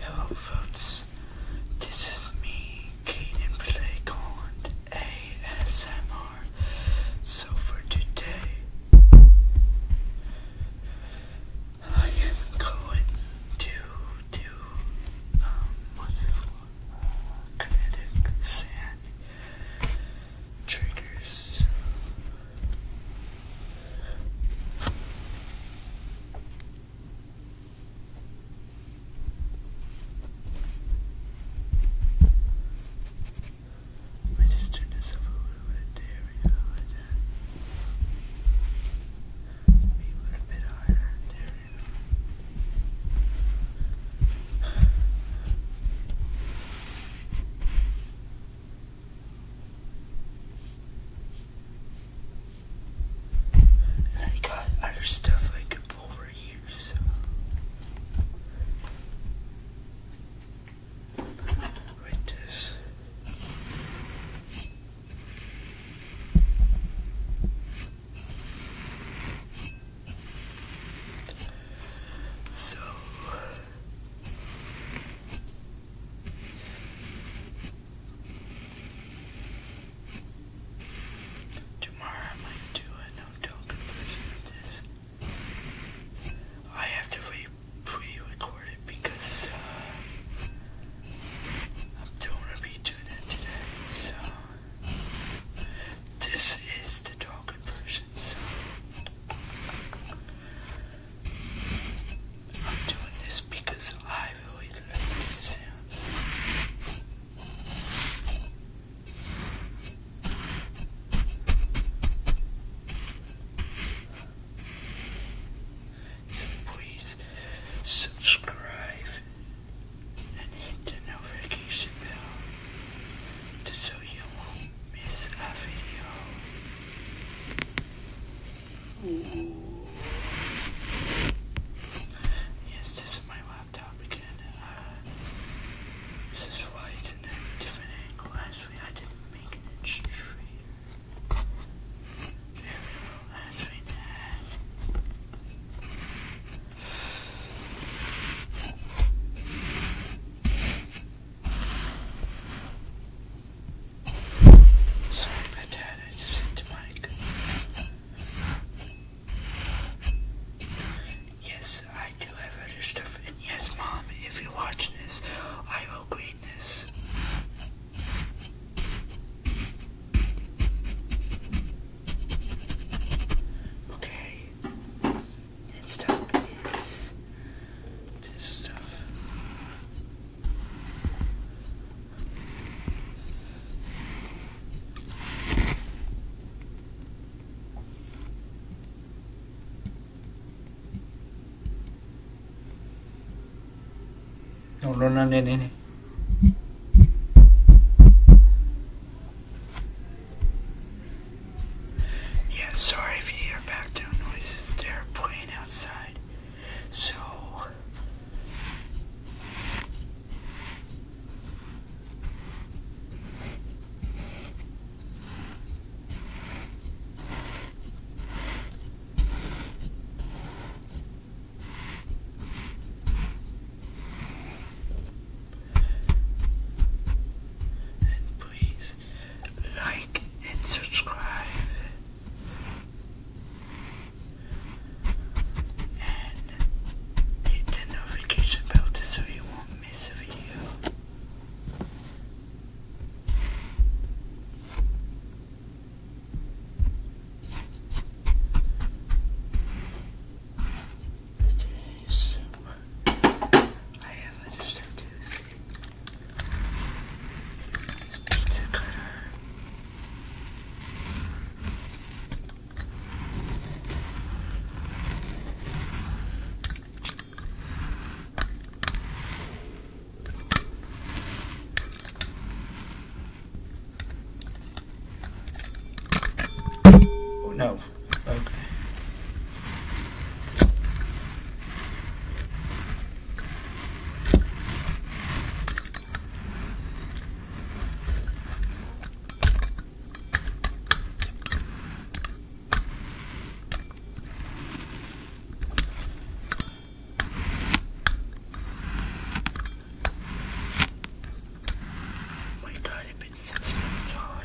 Hello folks, this is me, Caden Play Colin ASMR. So for today, I am going to do, um, what's this one? Kinetic Sand Triggers. I just turned this up a little bit. There a little bit higher. There and i got other stuff I could pull right here, so. Right So Tomorrow I might do a no-token version of this. I have to re pre-record it because uh, I'm doing a be doing it today. So this is the token version. I'm doing this because I really love these sounds. So please subscribe and hit the notification bell to so you won't Miss Yes, this is my laptop again. Uh, this is why it's a different angle. Actually, I didn't make it straight. There we go. That's right now. Sorry about I just hit the mic. Yes, I do have other stuff, yes, Mom, if you watch this, I will green this. Okay. It's stuck. It's stuff. No, no, no, no, no. Yeah, sorry if you hear background noises. They're playing outside. So. And please like and subscribe. And hit the notification bell so you won't miss a video. Okay, so I have other stuff it's pizza cutter. Oh no. Okay. Oh my god, it's been six minutes already.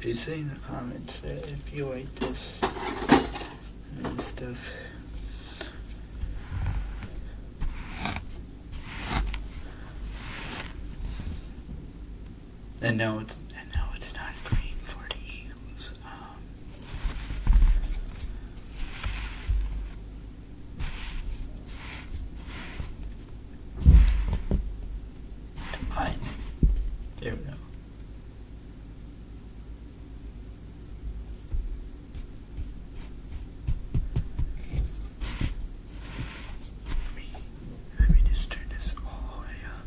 Be saying in the comments that uh, if you like this and stuff. And no, it's and no, it's not green for the eagles. Um. Combine. There we go. me, let me just turn this all the way up.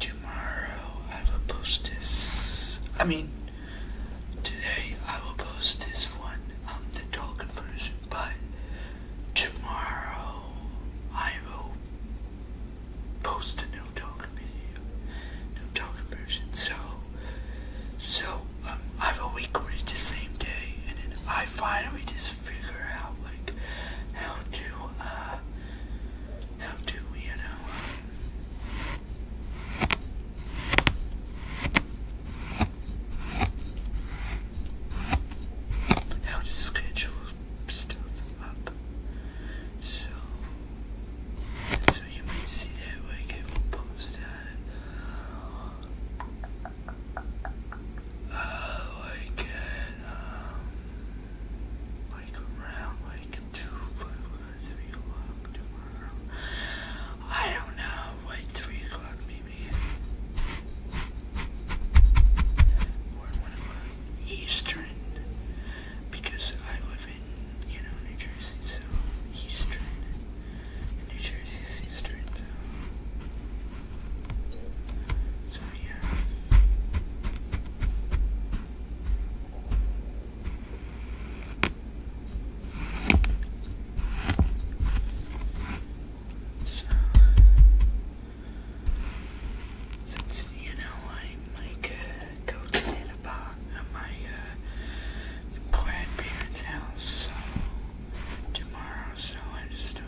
Tomorrow I will post this. I mean, today I will post this one, um, the talking person, but Tomorrow I will post a new talk video, new talk version. So, so um, I've a week recorded the same day, and then I finally just figure out like how to uh, how to you know how to schedule stuff up. So, so you might see that like it will post on uh, um, like around like two, o'clock tomorrow. I don't know, like three o'clock maybe man. eastern, because I live in, you know, New Jersey, so eastern. New Jersey's eastern, So, yeah. So, since you know I like uh, to the at my uh, grandparents' house tomorrow, so I just do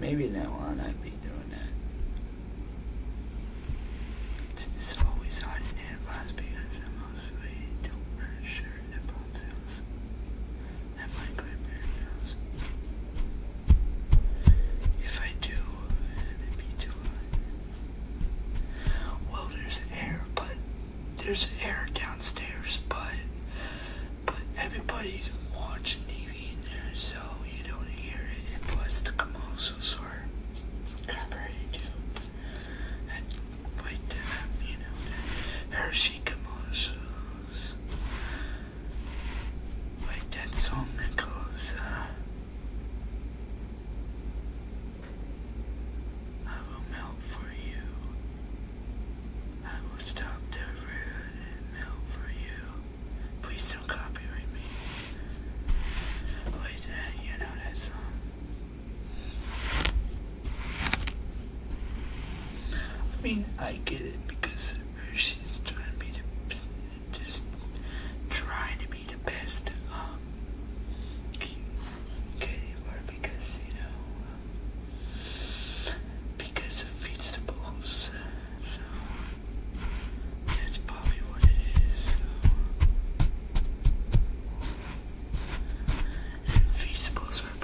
Maybe that on I'd be doing that. It's always on it was because I mostly don't wear a shirt at pop sales. At my grandparents' house. If I do, it'd be too hot. Well, there's air, but there's air downstairs, but but everybody's watching TV in there, so you don't hear it. And plus, the commercials are covered too. Uh, Hershey commercials, that song that uh, I will melt for you. I will stop the road and melt for you. Please don't copyright me. Uh, you know that song. I mean, I get it because she's trying to be the just trying to be the best um Katie because you know um, because it feeds the bulls. So that's probably what it is. And are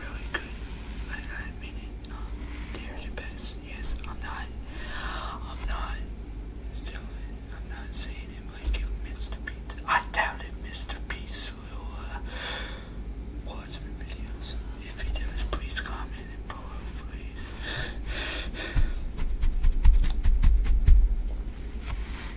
really good. I got it. they're the best. Yes, I'm not. I'm not. Still, I'm not saying it like it, Mr. Pizza. I doubt it, Mr. Pizza will uh, watch my videos. If he does, please comment and below, please.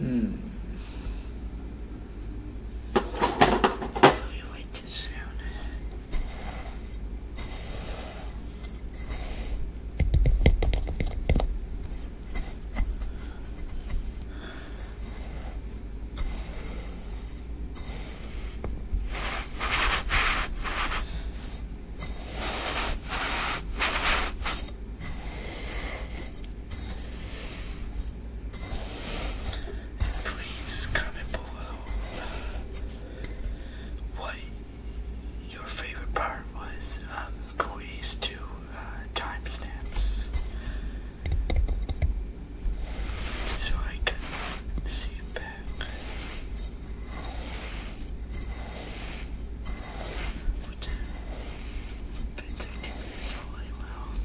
Hmm. You like this sound. And please comment below uh, your favorite part was um, Koei's two uh, timestamps. So I can see back. Would it's all well.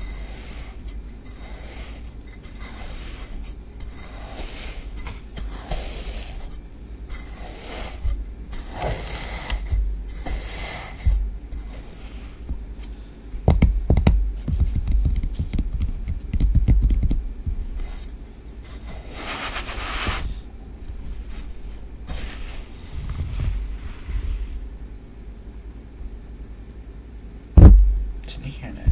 It's an Ethernet.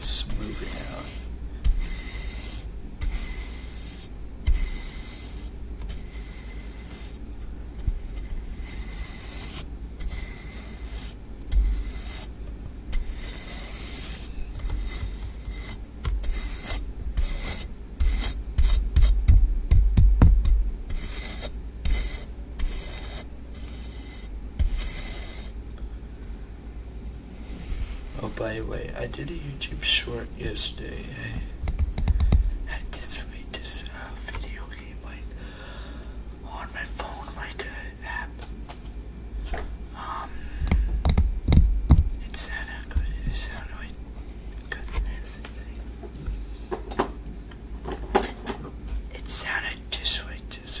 Smooth it out. Oh, by the way, I did a YouTube short yesterday. I, did some uh, video game like on my phone, like uh, app. Um, it's not good. It's not really It sounded just like this.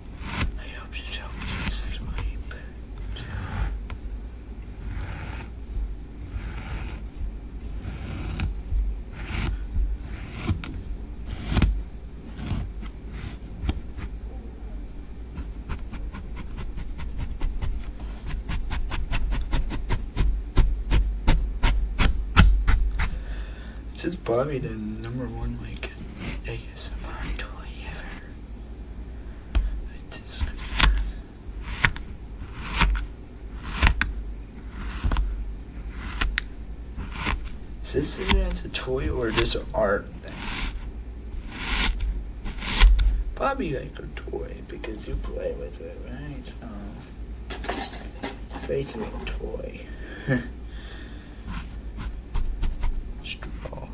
I hope this helps you sleep too. This the number one like good ASMR toy ever. Is this a toy or just an art thing? Probably like a toy because you play with it, right? Um, basically a toy. Street ball. Oops.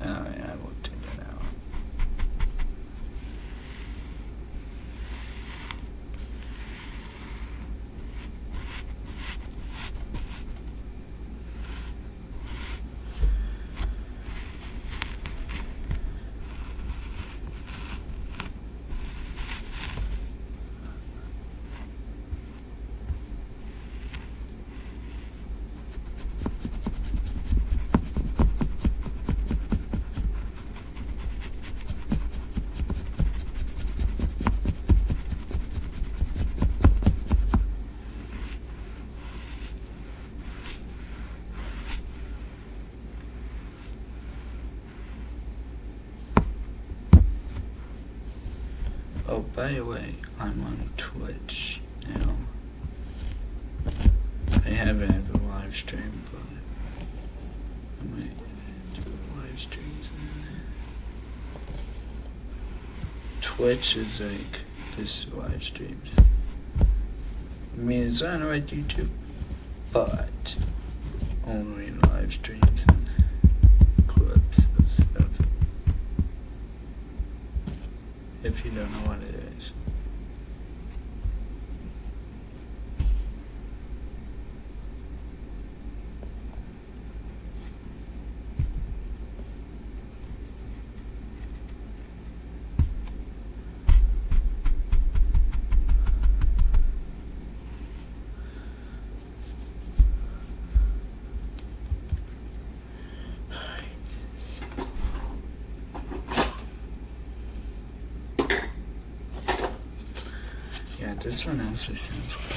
I oh, I will take that out. Oh, by the way, I'm on Twitch now. I haven't had live stream, but I might do live streams. Twitch is like just live streams. I mean, it's on right YouTube, but only live streams and clips of stuff if you don't know what it is. Yeah, this one actually sounds good.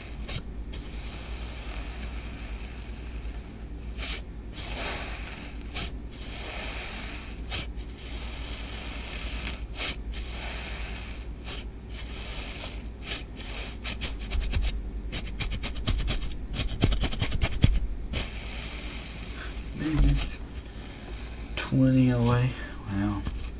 20 away. Wow.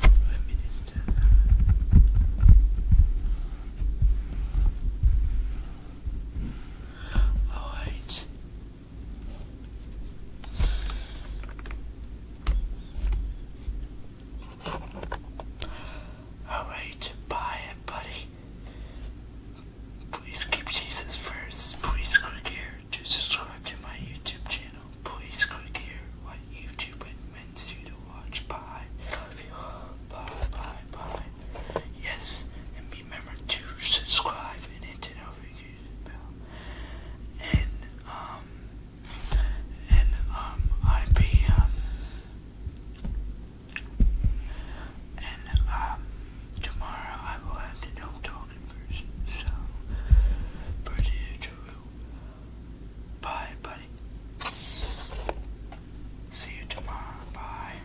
Prime Minister. All right. Alright, bye buddy. Please keep Jesus first. Please click here to subscribe to my YouTube channel. Please click here what YouTube recommends you to watch. Bye. Love you. Bye, bye, bye. Yes, and remember to subscribe and hit the notification bell. And, um, and um, IBM, um, and um, tomorrow I will have to know talking person, so, pretty true. Bye, buddy. See you tomorrow. Bye.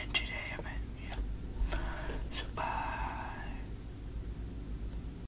And today I meant, yeah. So, bye.